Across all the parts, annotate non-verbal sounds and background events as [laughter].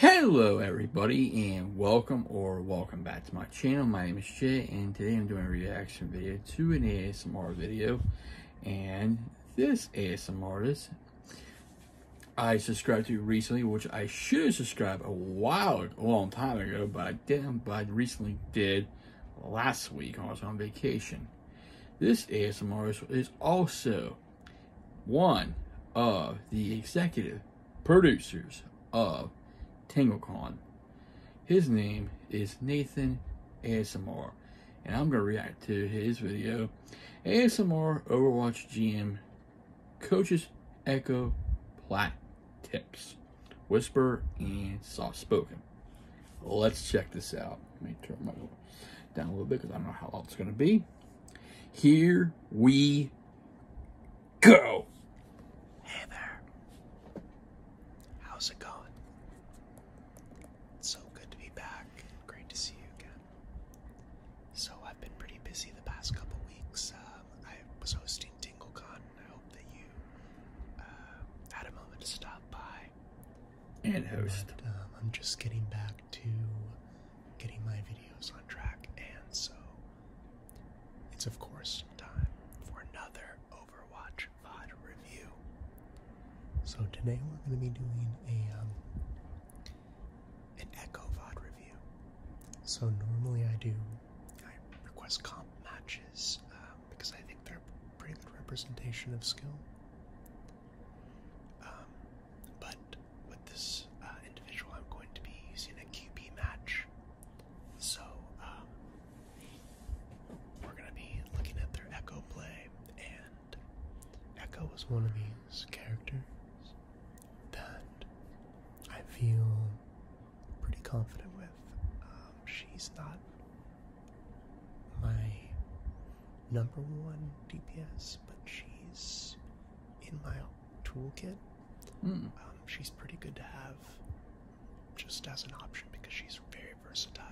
Hello everybody and welcome or welcome back to my channel. My name is Jay and today I'm doing a reaction video to an ASMR video and this ASMR artist I subscribed to recently which I should have subscribed a while a long time ago but I didn't but I recently did last week I was on vacation. This ASMR artist is also one of the executive producers of TangleCon. His name is Nathan ASMR, and I'm going to react to his video. ASMR Overwatch GM Coaches Echo Plat Tips Whisper and Soft Spoken. Let's check this out. Let me turn my down a little bit because I don't know how long it's going to be. Here we go. Hey there. How's it going? so good to be back. Great to see you again. So I've been pretty busy the past couple weeks. Um, I was hosting and I hope that you uh, had a moment to stop by. And host. um, I'm just getting back to getting my videos on track, and so it's of course time for another Overwatch VOD review. So today we're going to be doing a um, an Echo VOD review. So normally I do I request comp matches um, because I think they're a pretty good representation of skill. Um, but with this uh, individual, I'm going to be using a QB match. So um, we're going to be looking at their Echo play, and Echo was one of these characters that I feel pretty confident with. Um, she's not my number one DPS, but she's in my toolkit. Hmm. Um, she's pretty good to have just as an option because she's very versatile.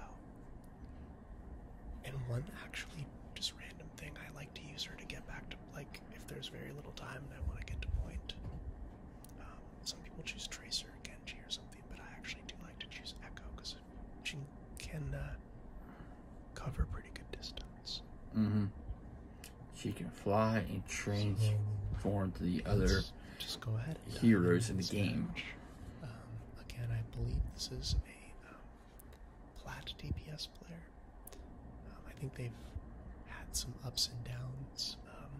And one actually just random thing I like to use her to get back to like if there's very little time and I want to get to point. Um, some people choose Tracer, Genji, or something, but I actually do like to choose Echo because she can uh, cover pretty good distance. Mm-hmm. She can fly and transform to the other heroes in the game. Um, again, I believe this is a um, DPS player. Um, I think they've had some ups and downs, um,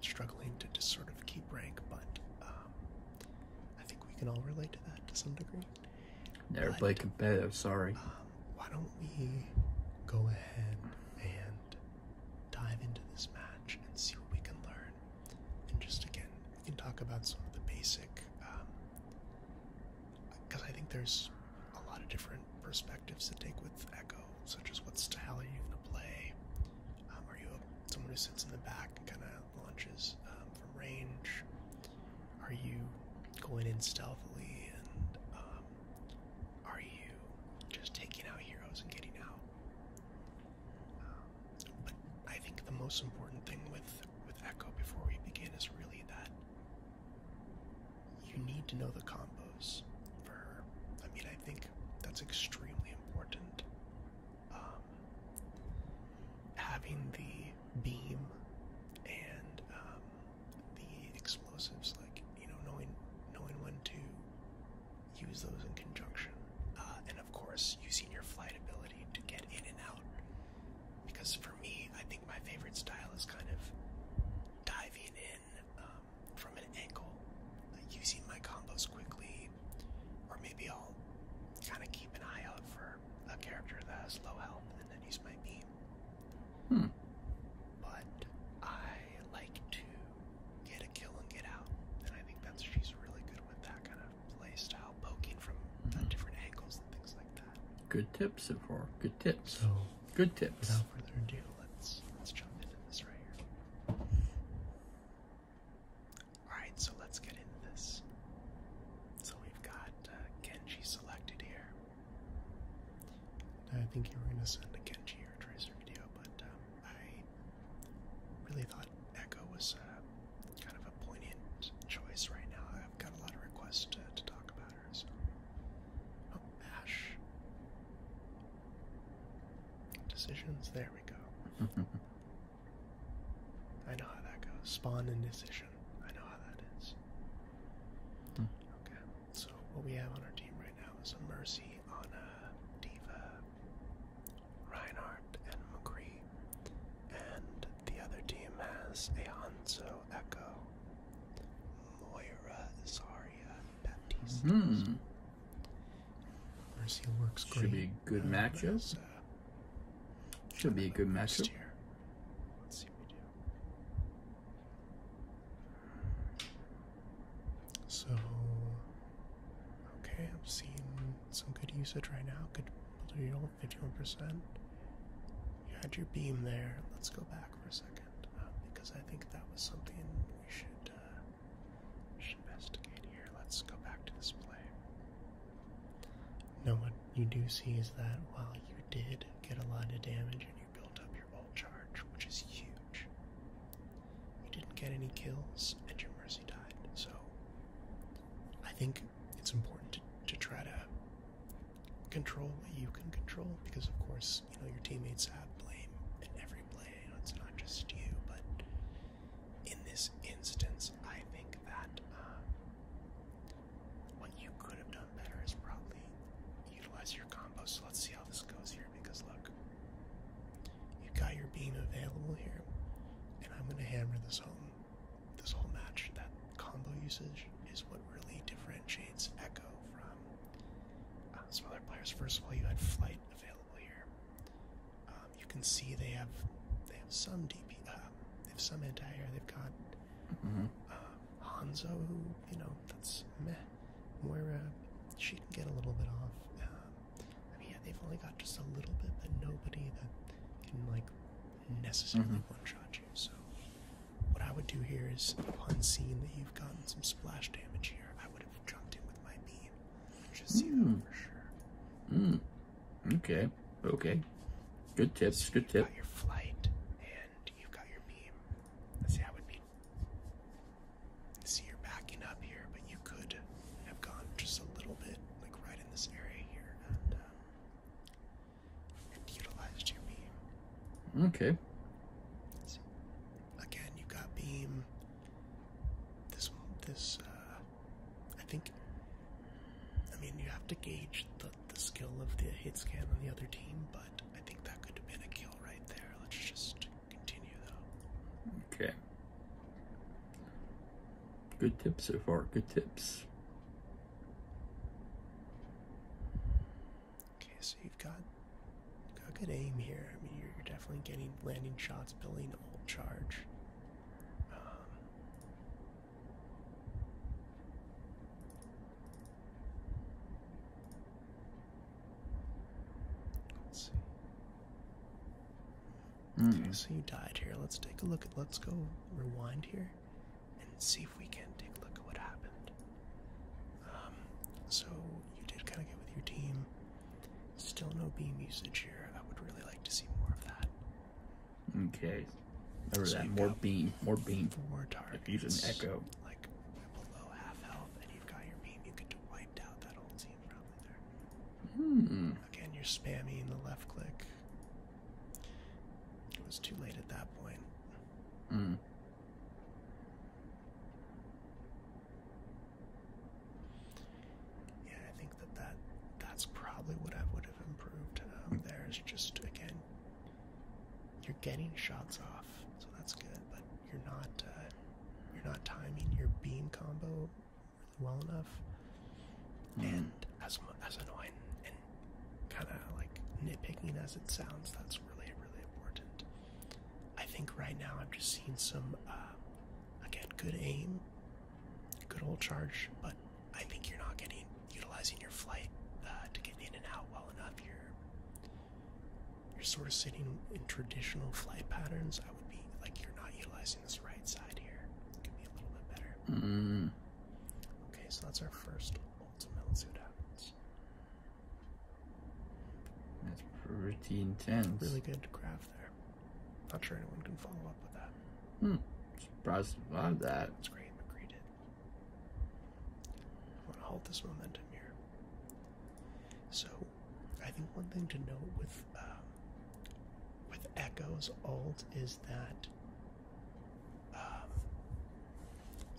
struggling to just sort of keep rank, but I think we can all relate to that to some degree. Never but, played competitive, sorry. Um, why don't we go ahead and dive into this match and see what we can learn? And just again, we can talk about some of the basic, because um, I think there's a lot of different perspectives to take with Echo, such as what style are you going to play? Um, are you someone who sits in the back and kind of launches from range? Are you going in stealthily and um, are you just taking out heroes and getting out? Um, but I think the most important thing with with Echo before we begin is really that you need to know the combos for her. I mean, I think that's extremely important. Um, having the beam and um, the explosives, like you know, knowing knowing when to use those in conjunction, uh, and of course using your flight ability to get in and out. Because for me, I think my favorite style is kind of diving in um, from an angle, using my combos quickly, or maybe I'll kind of keep an eye out for a character that has low health, and then use my beam. Hmm. But I like to get a kill and get out, and I think that's she's really good with that kind of play style, poking from uh, mm-hmm. different angles and things like that. Good tips so Good tips. So good tips. Without further ado, let's let's jump into this right here. All right, so let's get into this. So we've got uh, Genji selected here. I think you were going to send a Genji or Tracer video, but um, I really thought Echo was uh, kind of a poignant choice right now. I've got a lot of requests to, talk about her. So. Oh, Ash. Decisions, there we go. [laughs] I know how that goes. Spawn and decision. I know how that is. Hmm. Okay, so what we have on our team right now is a Mercy, Anna, Diva, Reinhardt, and McCree. And the other team has a Hanzo, Echo, Moira, Zarya, Baptiste. Hmm. Mercy works great. Should be good uh, uh, Should be a good matchup. So, okay, i have seen some good usage right now. Good deal, 51%. You had your beam there. Let's go back for a second uh, because I think that was something we should, we uh, should investigate here. Let's go back to this play. Now, what you do see is that while you did get a lot of damage, and you built up your ult charge, which is huge. You didn't get any kills, and your mercy died, so I think it's important to, try to control what you can control, because of course, you know, your teammates have blame in every play, it's not just you, but in this instance, I think that uh, what you could have done better is probably utilize your combo. So let's see how this goes here because look, you got your beam available here, and I'm gonna hammer this home. This whole match that combo usage is what really differentiates Echo from uh, some other players. First of all, you had flight available here. Um, you can see they have they have some DP, uh, they have some anti-air. They've got Mm-hmm. Uh, Hanzo, you know, that's meh. Moira, she can get a little bit off. Uh, I mean, they've only got just a little bit, but nobody that can like necessarily mm-hmm. one-shot you. So, what I would do here is, upon seeing that you've gotten some splash damage here, I would have jumped in with my beam, just see zero mm. for sure. Mm. Okay. Okay. Good tips. good tip. Your flight you've got your beam. See, I would be. See, you're backing up here, but you could have gone just a little bit, like right in this area here, and, um, utilized your beam. Okay. again, you've got beam. This, this, uh, I think. I mean, you have to gauge the the, skill of the hit scan on the other team, but I think that could have been a kill right there. Let's just continue though. Okay. Good tips so far. Good tips. Okay, so you've got, got good aim here. I mean, you're, definitely getting landing shots, building old charge. Um, Let's see. Hmm. Okay, so you died here. Let's take a look at. Let's go rewind here and see if we can take a look at what happened. Um, so you did kind of get with your team. Still no beam usage here. I would really like to see more of that. Okay. More beam. More beam. More targets. Use an echo. Like below half health, and you've got your beam. You could wipe out that old team probably there. Hmm. Again, you're spamming the left click. It was too late at that point. Hmm. Yeah, I think that, that that's probably what I would have improved. Um, hmm. there's just again you're getting shots off, so that's good. But you're not uh, you're not timing your beam combo well enough. Mm-hmm. And as as annoying and kind of like nitpicking as it sounds, that's really really important. I think right now I'm just seeing some uh, again good aim, good old charge, but I think you're not getting utilizing your flight uh, to get in and out well enough. You're you're sort of sitting in traditional flight patterns. I would be like you're not utilizing this right side here. could be a little bit better. Mm-hmm. Okay, so that's our first ultimate. Let's see what happens. That's pretty intense. Really good graph there. Not sure anyone can follow up with that. Hmm. Surprised to love that. That's great. McCree I want to hold this momentum here. So, I think one thing to note with um, with Echo's alt is that um,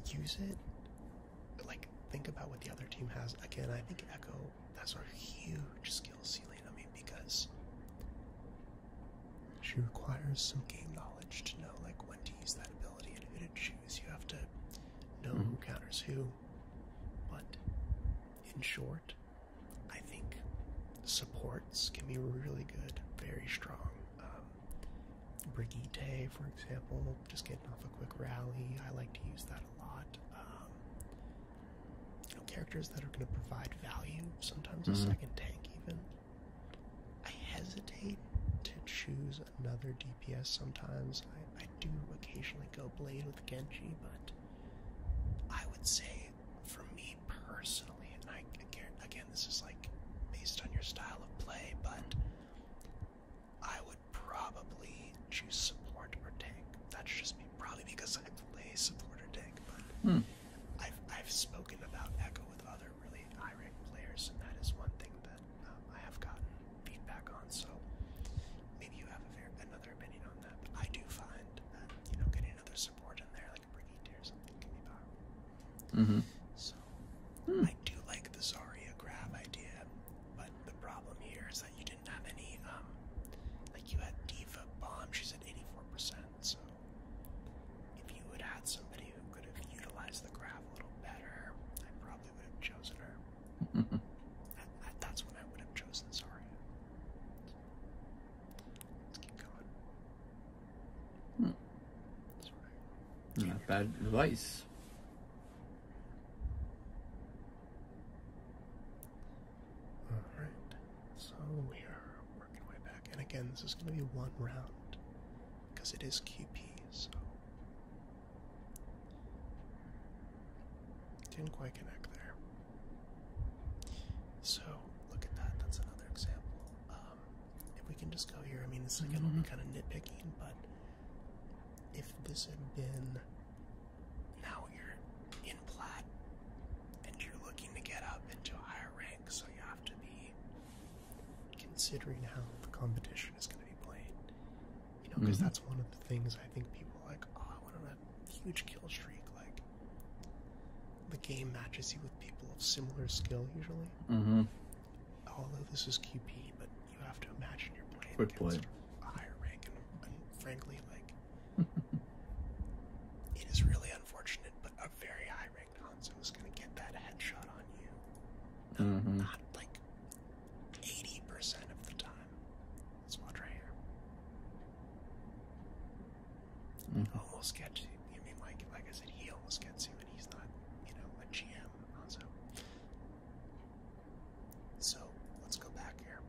use it. Like, think about what the other team has. Again, I think Echo has a huge skill ceiling. I mean, because she requires some game knowledge to know like when to use that ability and who to choose. You have to know who mm-hmm. counters who. But in short, I think supports can be really good, very strong. Um, Brigitte, for example, just getting off a quick rally. I like to use that a lot. Um, characters that are going to provide value, sometimes a mm-hmm. second tank even. I hesitate to choose another DPS sometimes. I, do occasionally go Blade with Genji, but I would say for me personally, and I again, this is like based on your style of play, but I would probably choose support or tank. That's just me, probably because I play support or tank, but. Hmm. I've I've spoken about Echo with other really high players, and that is one thing that um, I have gotten feedback on. So maybe you have a very, another opinion on that. I do find that you know getting another support in there, like a Brigitte or something, can be powerful. Mm -hmm. So I do like the Zarya grab idea, but the problem here is that you didn't have any. Um, like you had Diva bomb, she's at eighty four percent. So if you had had somebody could have utilized the graph a little better, I probably would have chosen her. [laughs] that's when I would have chosen, sorry. Let's keep going. Not hmm. bad advice. Alright, so we are working way back. And again, this is going to be one round because it is QP, so didn't quite connect there. So look at that. That's another example. Um, if we can just go here, I mean, this is going to be mm-hmm. kind of nitpicking, but if this had been now you're in plat and you're looking to get up into higher rank, so you have to be considering how the competition is going to be played. You know, because mm-hmm. that's one of the things I think people are like, oh, I went on a huge kill streak. Like, the game matches you with people of similar skill usually. Mm-hmm. Although this is QP, but you have to imagine you're playing Quick against a higher rank, and, frankly, like, [laughs] it is really unfortunate, but a very high rank rigged is going to get that headshot on you. Mm-hmm. Not, like 80% of the time. Let's watch right Almost mm. gets you. I mean, like, like I said, he almost gets you, and he's not, you know, a GM Hanzo. So let's go back here.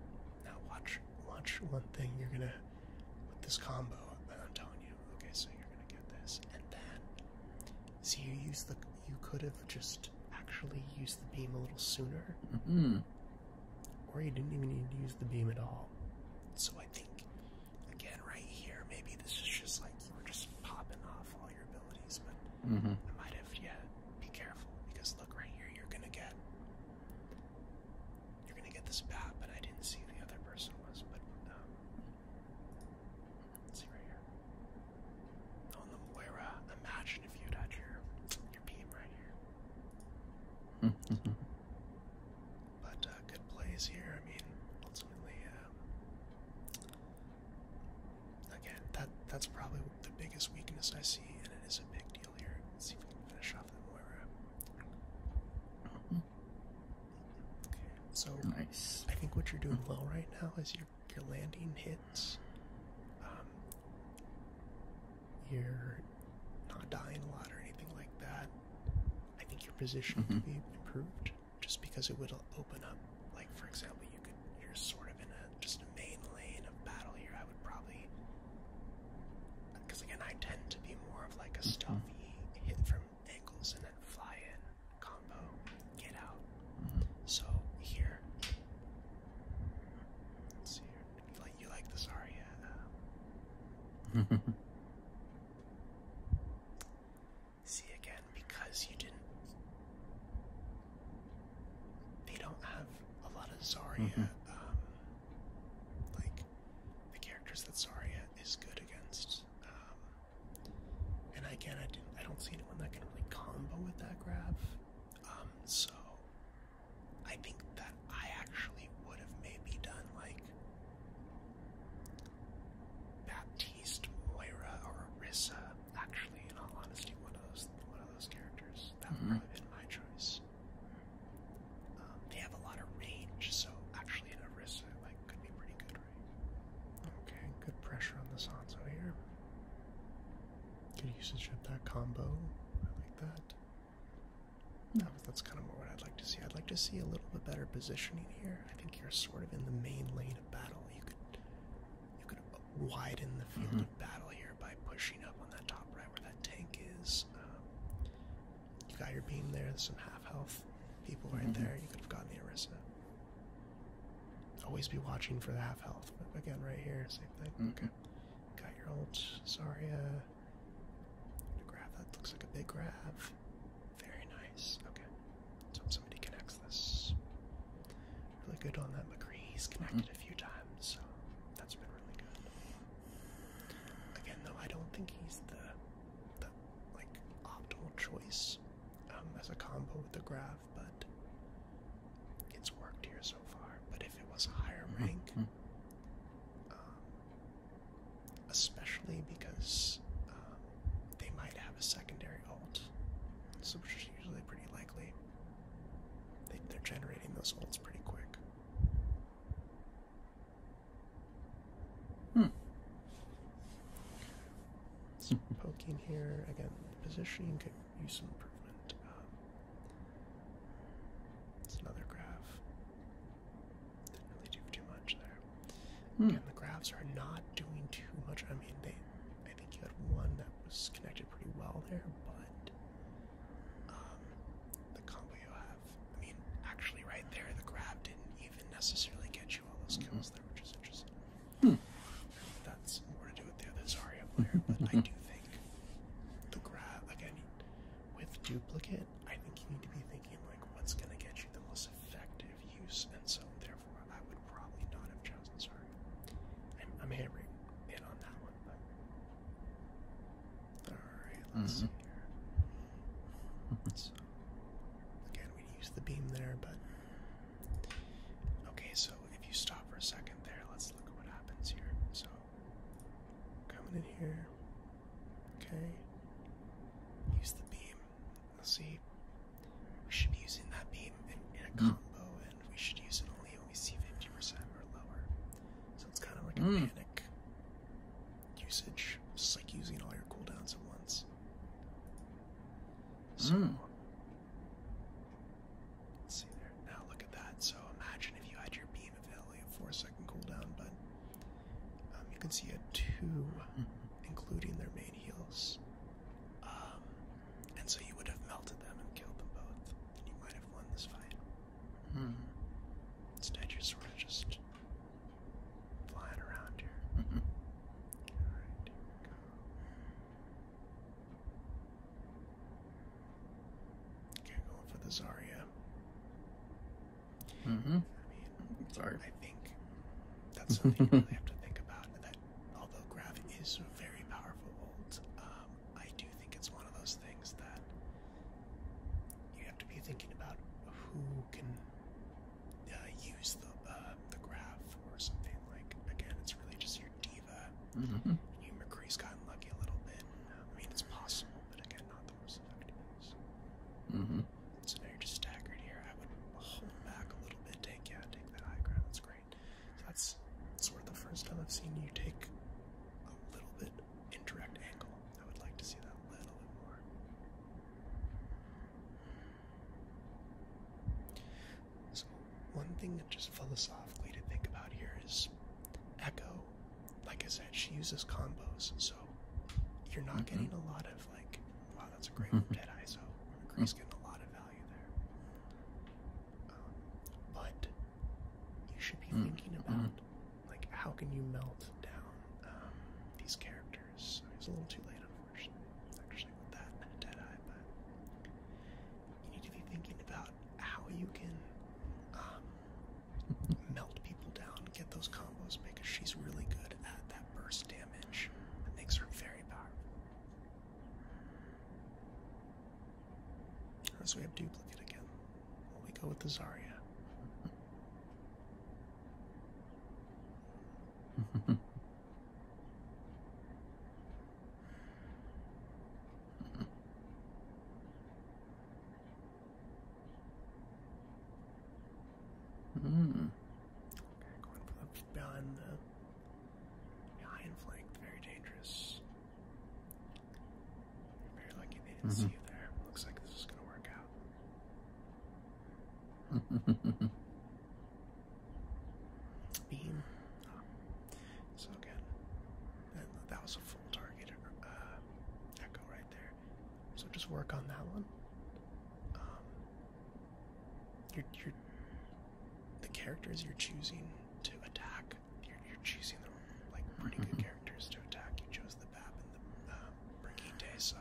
Now watch, watch one thing you're going to, with this combo, I'm telling you, okay, so you're going to get this, and then so you used the. You could have just actually used the beam a little sooner. Mm-hmm. Or you didn't even need to use the beam at all. So I think, again, right here, maybe this is just like you were just popping off all your abilities, but mm -hmm. I might have, yeah, be careful because look right here, you're gonna get. You're gonna get this bat, but I didn't see the other person was, but um, see right here. On oh, the Moira, imagine if you had your your beam right here. [laughs] but uh, good plays here. I mean, ultimately, uh, again, that that's probably the biggest weakness I see, and it is a big deal here. see if we can finish off the Moira. Mm-hmm. Okay, so nice. I think what you're doing mm-hmm. well right now is you your, landing hits, um, you're not dying a lot or anything like that. I think your position could mm-hmm. be improved just because it would open up. Like for example, you could you're sort of in a just a main lane of battle here. I would probably because uh, again I tend to be more of like a mm stuffy hit from angles and then fly in combo, get out. Mm-hmm. So here, see here. like you like the Zarya. [laughs] see again because you didn't. They don't have a lot of Zarya. Mm-hmm. um, like the characters that Zarya is good against. Um, and again, I don't see anyone that can really combo with that grab. Um, so I think that I actually would have maybe done like Baptiste, Moira, or Orissa. Actually, in all honesty, one of those one of those characters that would mm probably been my choice. Um, they have a lot of range, so actually, an Orissa. Like, could be pretty good, right? Okay, good pressure on the Sanso here. Good usage of that combo. I like that. No, hmm. that's kind of more what I'd like to see. I'd like to see a little bit better positioning here. I think you're sort of in the main lane of battle. You could you could widen the field mm-hmm. of battle here by pushing up on that top right where that tank is. Um, you got your beam there. some half health people right mm-hmm. there. You could have gotten the Arisa. Always be watching for the half health. But Again, right here, same thing. Okay. Got your old Zarya. Grab that looks like a big grab. Very nice. Okay. So somebody connects this. Really good on that. He's connected mm-hmm. a few times, so that's been really good. Again, though, I don't think he's the the like optimal choice um, as a combo with the grab but it's worked here so far. But if it was a higher mm-hmm. rank, um, especially because um, they might have a secondary ult, so which is usually pretty likely. They, are generating those ults pretty quick. Hmm. Poking here again. The positioning could use some improvement. Um, it's another graph. Didn't really do too much there. Hmm. Again, the graphs are not doing too much. I mean, they. I think you had one that was connected pretty well there, but um, the combo you have. I mean, actually, right there, the grab didn't even necessarily get you all those mm-hmm. kills there, which is interesting. Hmm. That's more to do with the other Zarya player, but I do [laughs] think the grab again with duplicate. I think you need to be thinking like what's gonna get you the most effective use, and so therefore I would probably not have chosen Zarya. I'm, I'm hammering in on that one, but all right, let's mm -hmm. see here. So, again, we use the beam there, but. Okay, so if you stop for a second there, let's look at what happens here. So, coming in here, okay, use the beam. Let's see, we should be using that beam in, a hmm. combo, and we should use it only when we see 50% or lower. So it's kind of like a panic hmm. usage, it's like using all your cooldowns at once. So, hmm. Let's see there. Now look at that. So imagine if you had your beam of only a four-second down, but um, you can see a two, [laughs] including their main heels. Um, and so you would have melted them and killed them both, and you might have won this fight. Hmm. Instead, you're sort of just flying around here. [laughs] All right, here we go. Okay, going for the Zarya. Mm hmm. I mean, sorry. I think that's something you really have to think about. That although Grav is very powerful, old, um, I do think it's one of those things that you have to be thinking about who can uh, use the uh, um, the graph or something like. Again, it's really just your diva. Mm-hmm. You McCree's gotten lucky a little bit. I mean, it's possible, but again, not the most effective. Mm-hmm. So. now you're just staggered here. I would hold back a little bit. Take yeah, take that high ground. That's great. So that's sort of the first time I've seen you take a little bit indirect angle. I would like to see that a little bit more. So one thing that just philosophically to think about here is Echo. Like I said, she uses combos, so you're not mm-hmm. getting a lot of like, wow, that's a great mm Dead Eye, so getting a lot of value there. Um, but you should be mm-hmm. thinking about like how can you melt down um, these characters. It's a little too late, unfortunate, actually, with you need to be thinking about how you can melt people down, get those combos, because she's really good at that burst damage. That makes her very powerful. So we have duplicate again. Well, we go with the Zarya. [laughs] Hmm. Okay, going for the behind the behind flank, very dangerous. You're very lucky they didn't mm see you there. Looks like this is gonna work out. [laughs] Beam. Ah, so again, that, was a full target uh, echo right there. So just work on that one. Um, you're, the characters you're choosing to attack, you're, you're choosing the like pretty good mm-hmm. characters to attack. You chose the Bab and the uh, so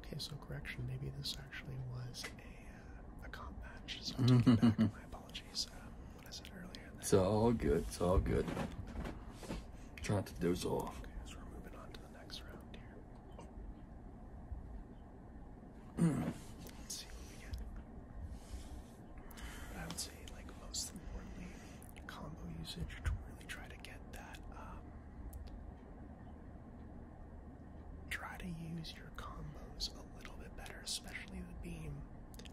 Okay, so correction, maybe this actually was a, uh, a comp match, so I'll take it back. [laughs] My apologies. Um, what I said earlier. It's all good. It's all good. Try not to doze off. Let's see what we get. I would say, like, most importantly, combo usage to really try to get that um, Try to use your combos a little bit better, especially the beam.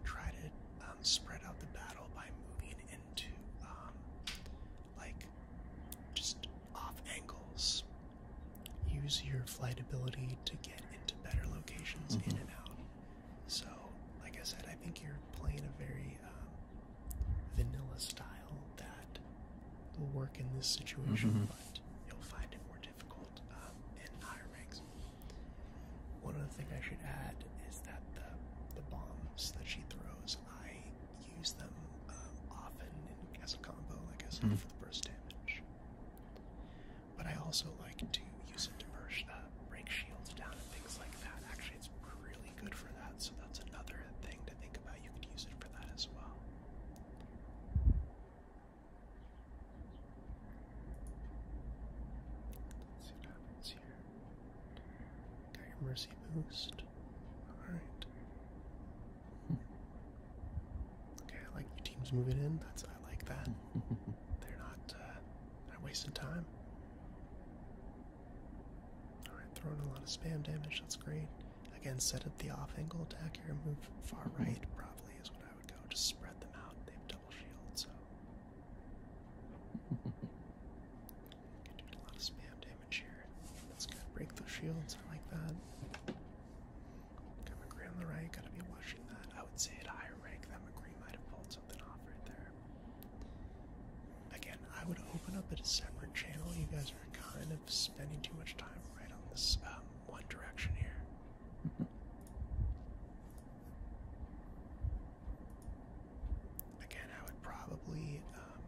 Try to um, spread out the battle by moving into um, like just off angles. Use your flight ability to get into better locations in mm-hmm. and out. So, like I said, I think you're playing a very um, vanilla style that will work in this situation, mm-hmm. but you'll find it more difficult uh, in higher ranks. One other thing I should add is that the, the bombs that she throws, I use them uh, often as a combo, I guess, mm-hmm. for the burst damage. But I also like to use it to burst, uh, break shields down and things like that. Actually, it's really good for that, so that's another thing to think about you could use it for that as well. see what happens here. Got your mercy boost. Alright. [laughs] Okay, I like your team's moving in. That's I like that. [laughs] They're not uh, not wasting time. Alright, throwing a lot of spam damage, that's great. Again, set up the off angle attack here, move far right probably is what I would go. Just spread them out. They have double shields, so [laughs] can do a lot of spam damage here. That's good. Break those shields. I like that. Got McGree on the right. Got to be watching that. I would say at higher rank that McGree might have pulled something off right there. Again, I would open up a separate channel. You guys guys are kind of spending too much time right on this um, one direction here. [laughs] Again, I would probably um,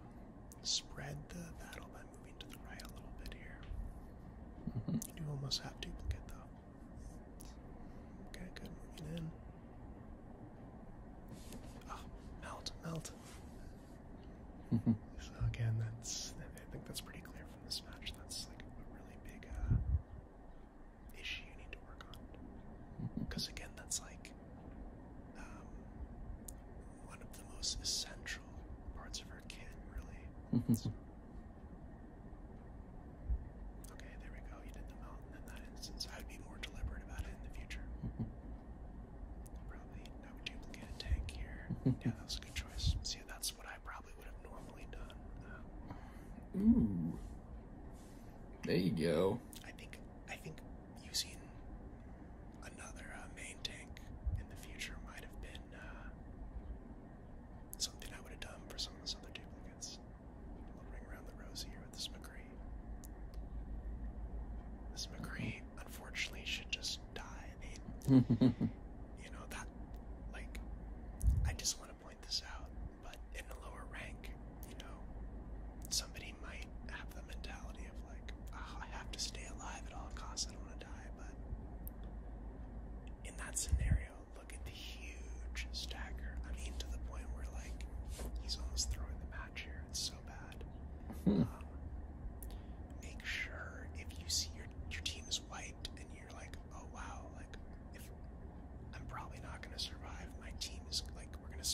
spread the battle by moving to the right a little bit here. Mm-hmm. You almost have duplicate though. Okay, good. Moving in. Oh, melt, melt. So again, that's I think that's pretty clear from this match. That's like a really big uh, issue you need to work on. Because mm-hmm. again, that's like um, one of the most essential parts of her kit, really. Mm-hmm. okay, there we go. You did the mountain in that instance. I would be more deliberate about it in the future. Mm-hmm. Probably now we duplicate a tank here. [laughs] yeah, that was a good choice. See, that's what I probably would have normally done. Ooh. There you go. I think I think using another uh, main tank in the future might have been uh, something I would have done for some of those other duplicates. we ring around the rose here with this McCree. This McCree, unfortunately, should just die. I [laughs] you know, that, like, I just want to point this out, but in a lower rank, you know, somebody might have the mentality of, like, ah, I have to stay alive at all costs, I don't want to die, but in that scenario, look at the huge stagger. I mean, to the point where, like, he's almost throwing the match here. so Hmm. Um, make sure if you see your your team is wiped and you're like, oh wow, like if I'm probably not gonna survive, my team is like we're gonna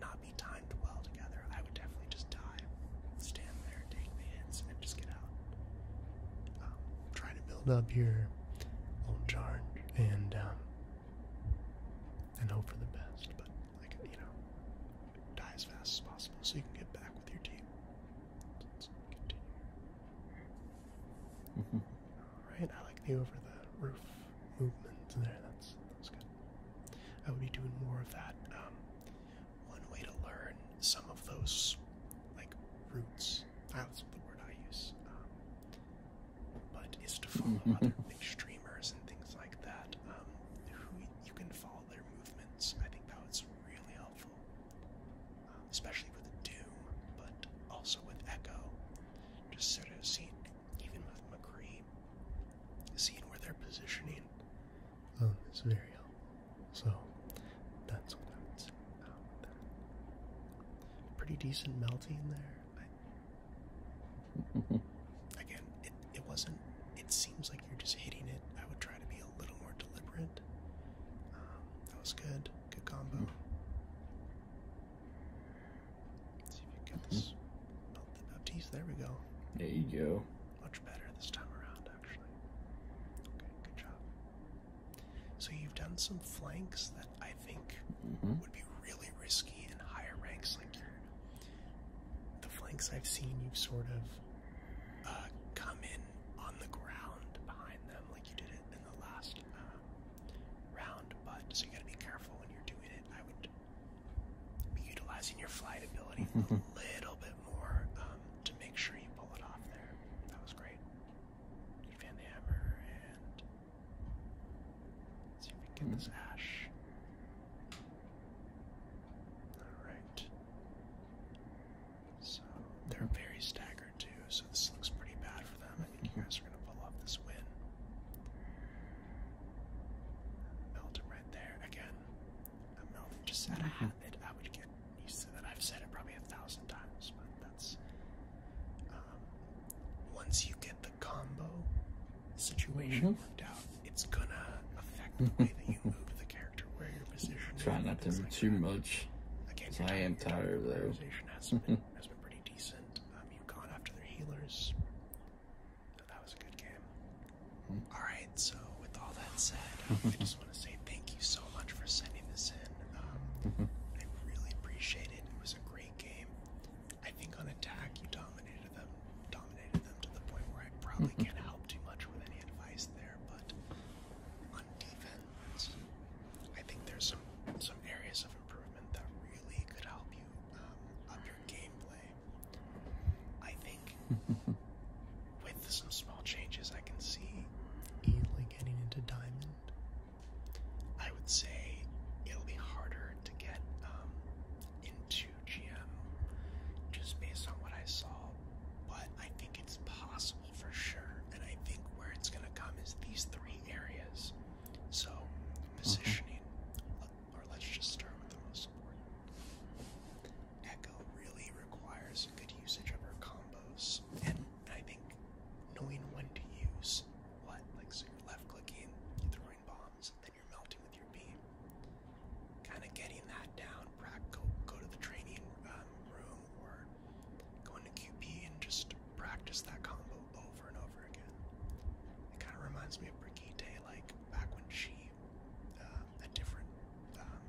not be timed well together. I would definitely just die, stand there, take the hits, and just get out. Um, try to build up your own charge and um, and hope for the best, but like you know, die as fast as possible so you can get back with your team. Let's continue. Mm I like the over the roof movement there. That's that's good. I would be doing more of that. Um, one way to learn some of those like roots. That's the word I use. Um, but is to follow [laughs] other big streamers and things like that um, who you can follow their movements. I think that was really helpful, um, especially with Doom, but also with Echo. Just sort of seeing, even with McCree, seeing where they're positioning um, oh, is very helpful. So that's what I would say Pretty decent melting there. [laughs] again, it wasn't. It seems like you're just hitting it. I would try to be a little more deliberate. Um, that was good. Good combo. Hmm. see if you get this. Oh, the There we go. There you go. Much better this time around, actually. good job. So you've done some flanks that I think mm-hmm. would be really risky in higher ranks, like your the flanks I've seen, you've sort of uh, come in on the ground behind them, like you did it in the last uh, round. But so you got to be careful when you're doing it. I would be utilizing your flight ability a [laughs] little bit more um, to make sure you pull it off there. That was great. You fan the hammer and. Let's see this hmm. ash. Alright. So they're very staggered too, so this looks pretty bad for them. I think you guys are gonna pull off this win. Melt right there. Again, a melt just out of I would get used to that. I've said it probably a thousand times, but that's um, once you get the combo situation [laughs] worked out, it's gonna affect the way that you move the character character, where your position Try not to be too much. I am tired, though. Has been, [laughs] has been pretty decent. Um, after their healers. that was a good game. Hmm. Alright, so with all that said, [laughs] I just want to say thank you so much for sending this in. Um, [laughs] I really appreciate it. It was a great game. I think on attack, you dominated them, dominated them to the point where I probably can't help too much with any advice there but on defense, I think there's some some areas of improvement that really could help you um, up your gameplay. I think [laughs] with some small changes, I can see easily getting into diamond. I would say it'll be harder to get um, into GM just based on what I saw, but I think it's possible for sure. And I think where it's going to come is these three areas. So, positioning, or let's just start with the most important. Echo really requires good usage of her combos, and I think knowing when to use what, like so you're left clicking, throwing bombs, then you're melting with your beam kind of getting that down. Go, go to the training um, room or go into QP and just practice that combo over and over again. It kind of reminds me of Brigitte, like back when she um, had different um,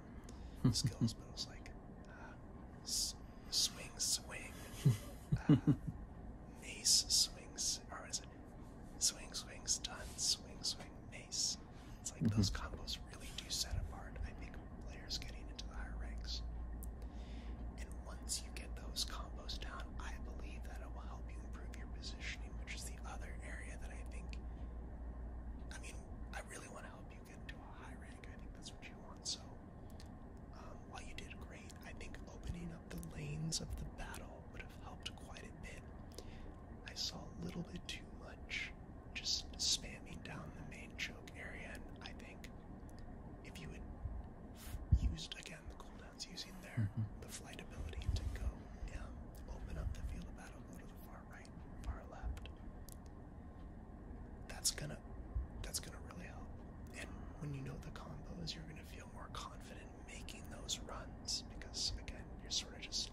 hmm. skills, but it was like uh, s swing, swing, uh, [laughs] mace, swings, or is it swing, swing, stun, swing, swing, it's like those mm-hmm. combos really do set apart, I think, players getting into the higher ranks. And once you get those combos down, I believe that it will help you improve your positioning, which is the other area that I think. I mean, I really want to help you get into a high rank. I think that's what you want. So, um, while you did great, I think opening up the lanes of the battle would have helped quite a bit. I saw a little bit too much just spamming down the main choke area, and I think if you had used again the cooldowns using their mm-hmm. the flight ability to go um, open up the field of battle, go to the far right, far left, that's gonna that's gonna really help. And when you know the combos, you're gonna feel more confident making those runs because again, you're sort of just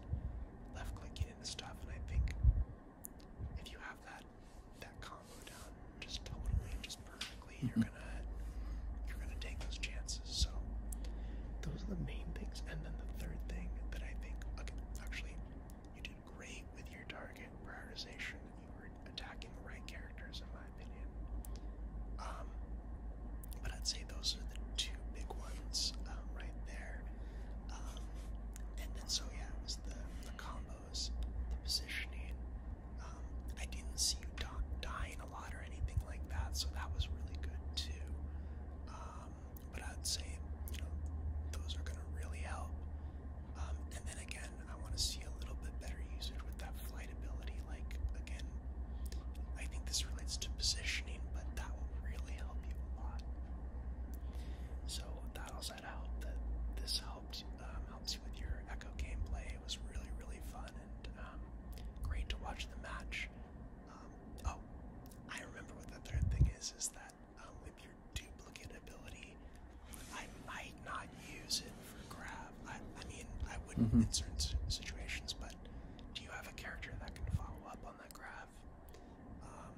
left clicking and stuff, and I think if you have that that combo down just totally, just perfectly, you're mm-hmm. gonna you're gonna take those chances. So those are the main things. And then the third thing that I think, okay, actually, you did great with your target prioritization. You were attacking the right characters, in my opinion. Um, but I'd say those are the two big ones um, right there. Um, and then so yeah, it was the the combos, the positioning. Um, I didn't see you dying a lot or anything like that, so that was really good too. Um, but I'd say you know those are gonna really help. Um, and then again, I want to see a little bit better usage with that flight ability. Like again, I think this relates to positioning, but that will really help you a lot. So that'll set out that this helped um, helps you with your Echo gameplay. It was really really fun and um, great to watch the match. Um, oh, I remember what the third thing is is that with your duplicate ability, I might not use it for grab. I, mean, I wouldn't mm-hmm. in certain situations, but do you have a character that can follow up on that grab? Um,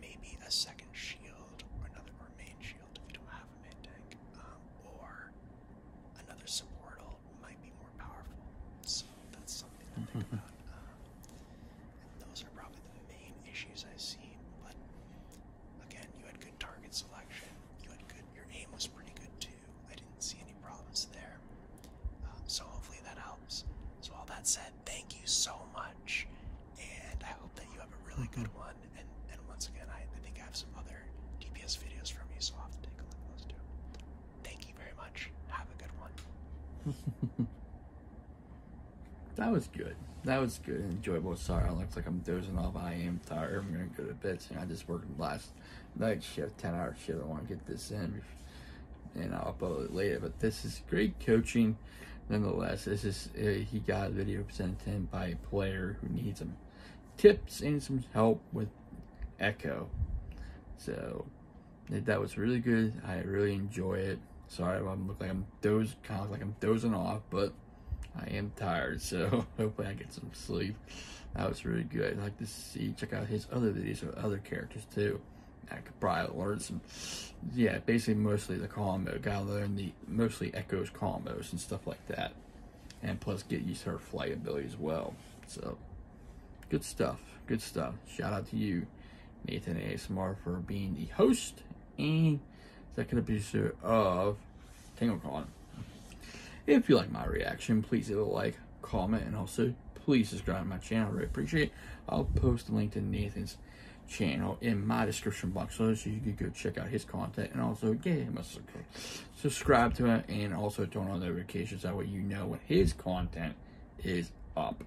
maybe a second shield or another main shield if you don't have a main tank, um, or another support might be more powerful. So that's something to think mm-hmm. about. Um, and those are probably the main issues I see. But again, you had good target selection. You had good. Your aim was pretty good too. I didn't see any problems there. Uh, so hopefully that helps. So all that said, thank you so much, and I hope that you have a really good one. And once again, I, think I have some other DPS videos from you, so i have to take a look at those too. Thank you very much. Have a good one. [laughs] that was good. That was good enjoyable. Sorry, it looks like I'm dozing off. I am tired. I'm gonna go to bed soon. I just worked last night shift, ten hour shift. I want to get this in and I'll upload it later. But this is great coaching, nonetheless. This is uh, he got a video presented to him by a player who needs some tips and some help with Echo. So that was really good. I really enjoy it. Sorry, I look like I'm doze, like I'm dozing off, but I am tired. So [laughs] hopefully I get some sleep. That was really good. I'd like to see check out his other videos with other characters too. I could probably learn some, yeah, basically mostly the combo. Gotta learn the mostly Echo's combos and stuff like that. And plus get used to her flight ability as well. So, good stuff. Good stuff. Shout out to you, Nathan ASMR, for being the host and executive episode of Con. If you like my reaction, please leave a like, comment, and also please subscribe to my channel. I really appreciate it. I'll post a link to Nathan's channel in my description box so you can go check out his content and also get him a subscribe to him and also turn on notifications that way you know when his content is up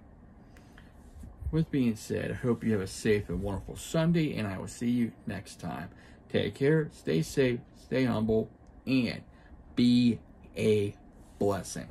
with being said i hope you have a safe and wonderful sunday and i will see you next time take care stay safe stay humble and be a blessing